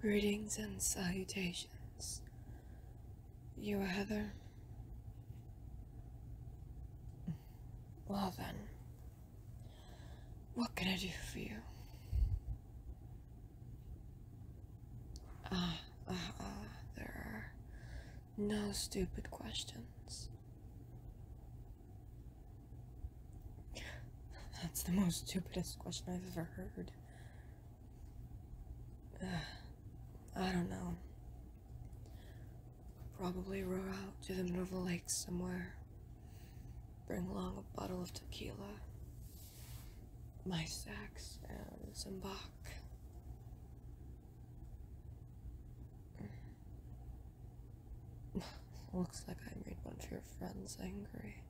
Greetings and salutations. You are Heather? Well then, what can I do for you? Ah, ah, ah, there are no stupid questions. That's the most stupidest question I've ever heard. I don't know. Probably row out to the middle of the lake somewhere. Bring along a bottle of tequila, my sax, and some Bach. Looks like I made one of your friends angry.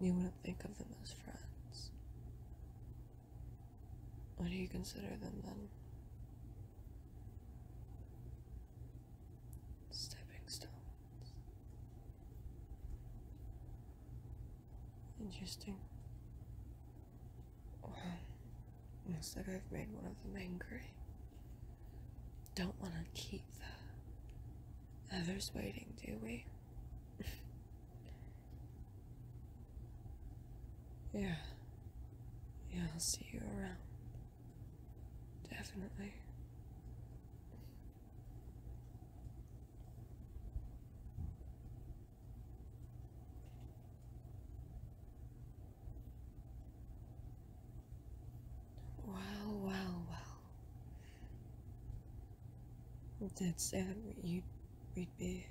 You wouldn't think of them as friends. What do you consider them then? Stepping stones. Interesting. Well, looks like I've made one of them angry. Don't want to keep the others waiting, do we? yeah. Yeah, I'll see you around. Definitely. Wow, wow, wow. That's that we'd be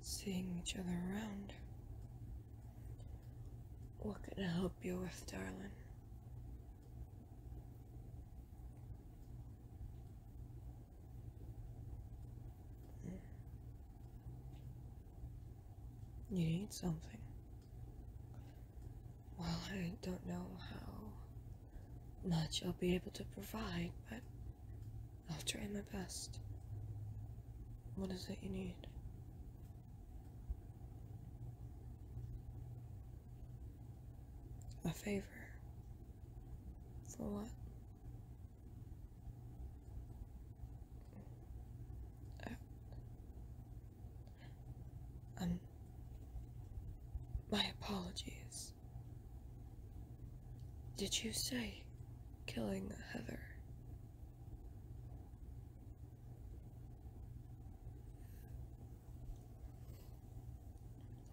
seeing each other around. What can I help you with, darling? You need something. Well, I don't know how much I'll be able to provide, but I'll try my best. What is it you need? A favor. For what? Uh, um, my apologies. Did you say killing Heather?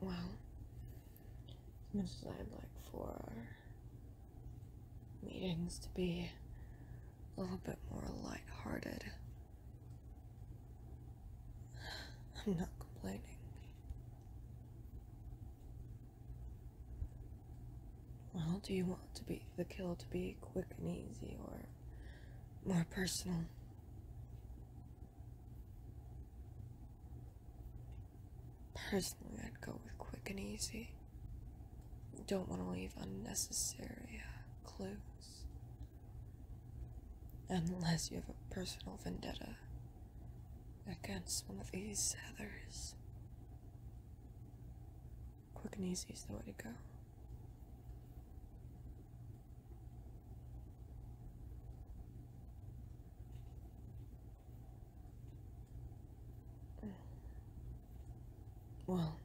Well, as much as I'd like for meetings to be a little bit more light-hearted, I'm not complaining. Well, do you want to be the kill to be quick and easy or more personal? Personally, I'd go with quick and easy. Don't want to leave unnecessary uh, clues. Unless you have a personal vendetta against one of these heathers. Quick and easy is the way to go. Well,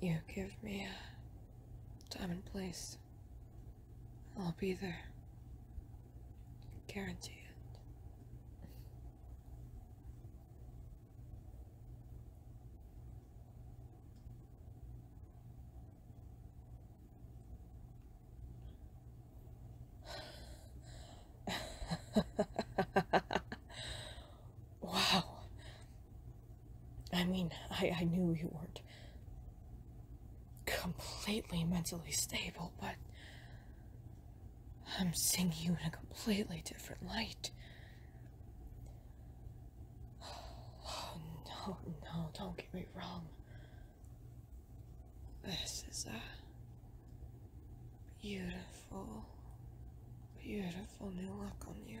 you give me a uh, time and place. I'll be there. Guarantee it wow. I mean, I, I knew you weren't completely mentally stable, but I'm seeing you in a completely different light. Oh, no, no, don't get me wrong. This is a beautiful, beautiful new look on you.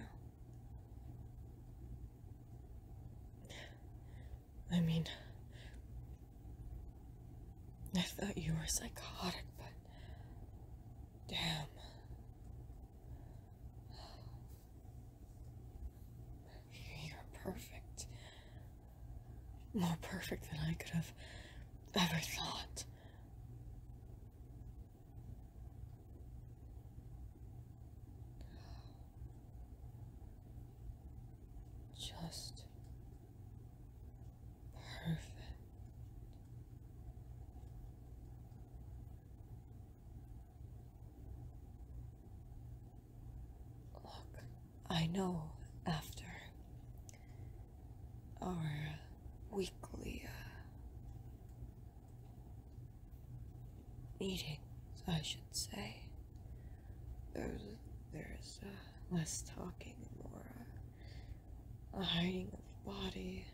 I mean, I thought you were psychotic, but Damn. You're perfect. More perfect than I could have ever thought. Just Perfect. Look, I know after our weekly uh, meetings, I should say, there's, there's uh, less talking and more uh, a hiding body.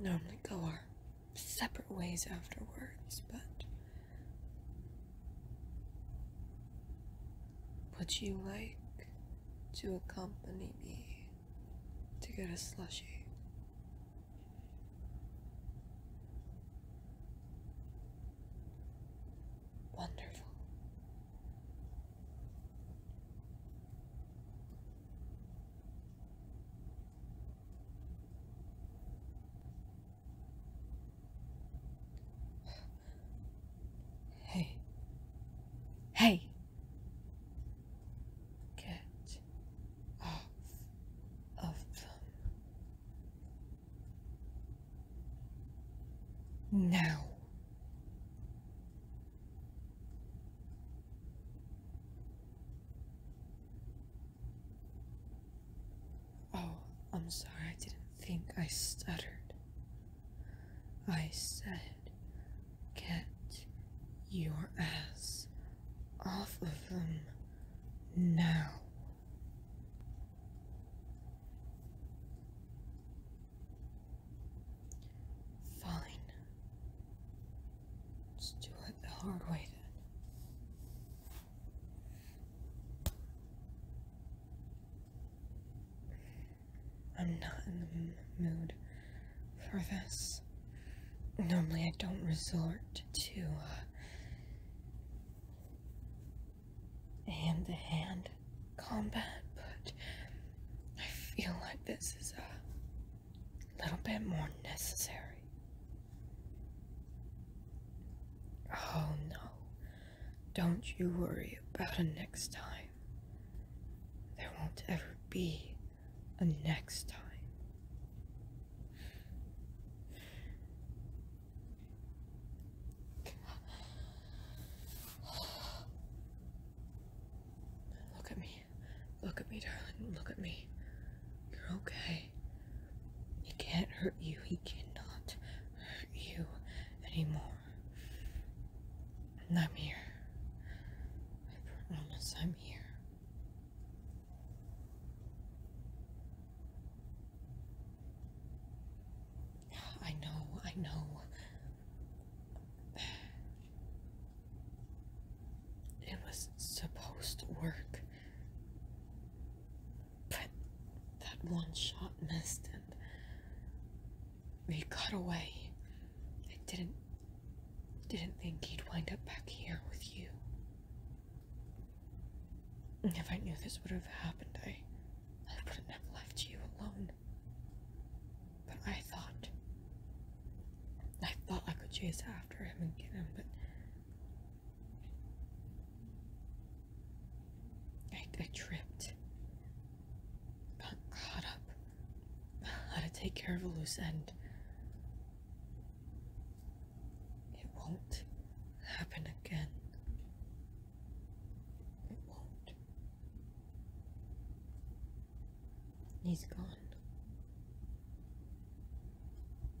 Normally go our separate ways afterwards, but would you like to accompany me to get a slushie? Wonderful. Hey. Hey. Get off of them. No. Oh, I'm sorry, I didn't think I stuttered. I said, get your ass off of them now. Fine. Let's do it the hard way then. I'm not in the mood for this. Normally, I don't resort to hand to hand combat, but I feel like this is a little bit more necessary. Oh no, don't you worry about a next time. There won't ever be a next time. Look at me. Look at me, darling. Look at me. You're okay. He can't hurt you. He cannot hurt you anymore. I'm here. I promise I'm here. I know, I know. It was supposed to work. But that one shot missed and we got away. I didn't didn't think he'd wind up back here with you. If I knew this would have happened, I, I wouldn't have left you alone. But I thought. I thought I could chase after him and get him, but. I, I tripped. Got caught up. How to take care of a loose end. It won't happen again. It won't. He's gone.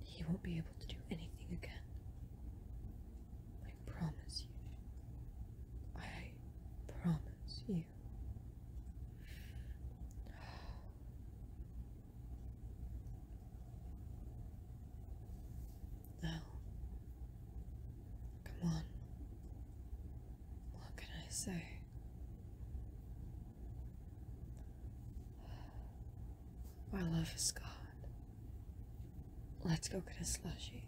He won't be able to do anything again. I promise you. I promise you you. come on. What can I say? My love is gone. Let's go get a slushie.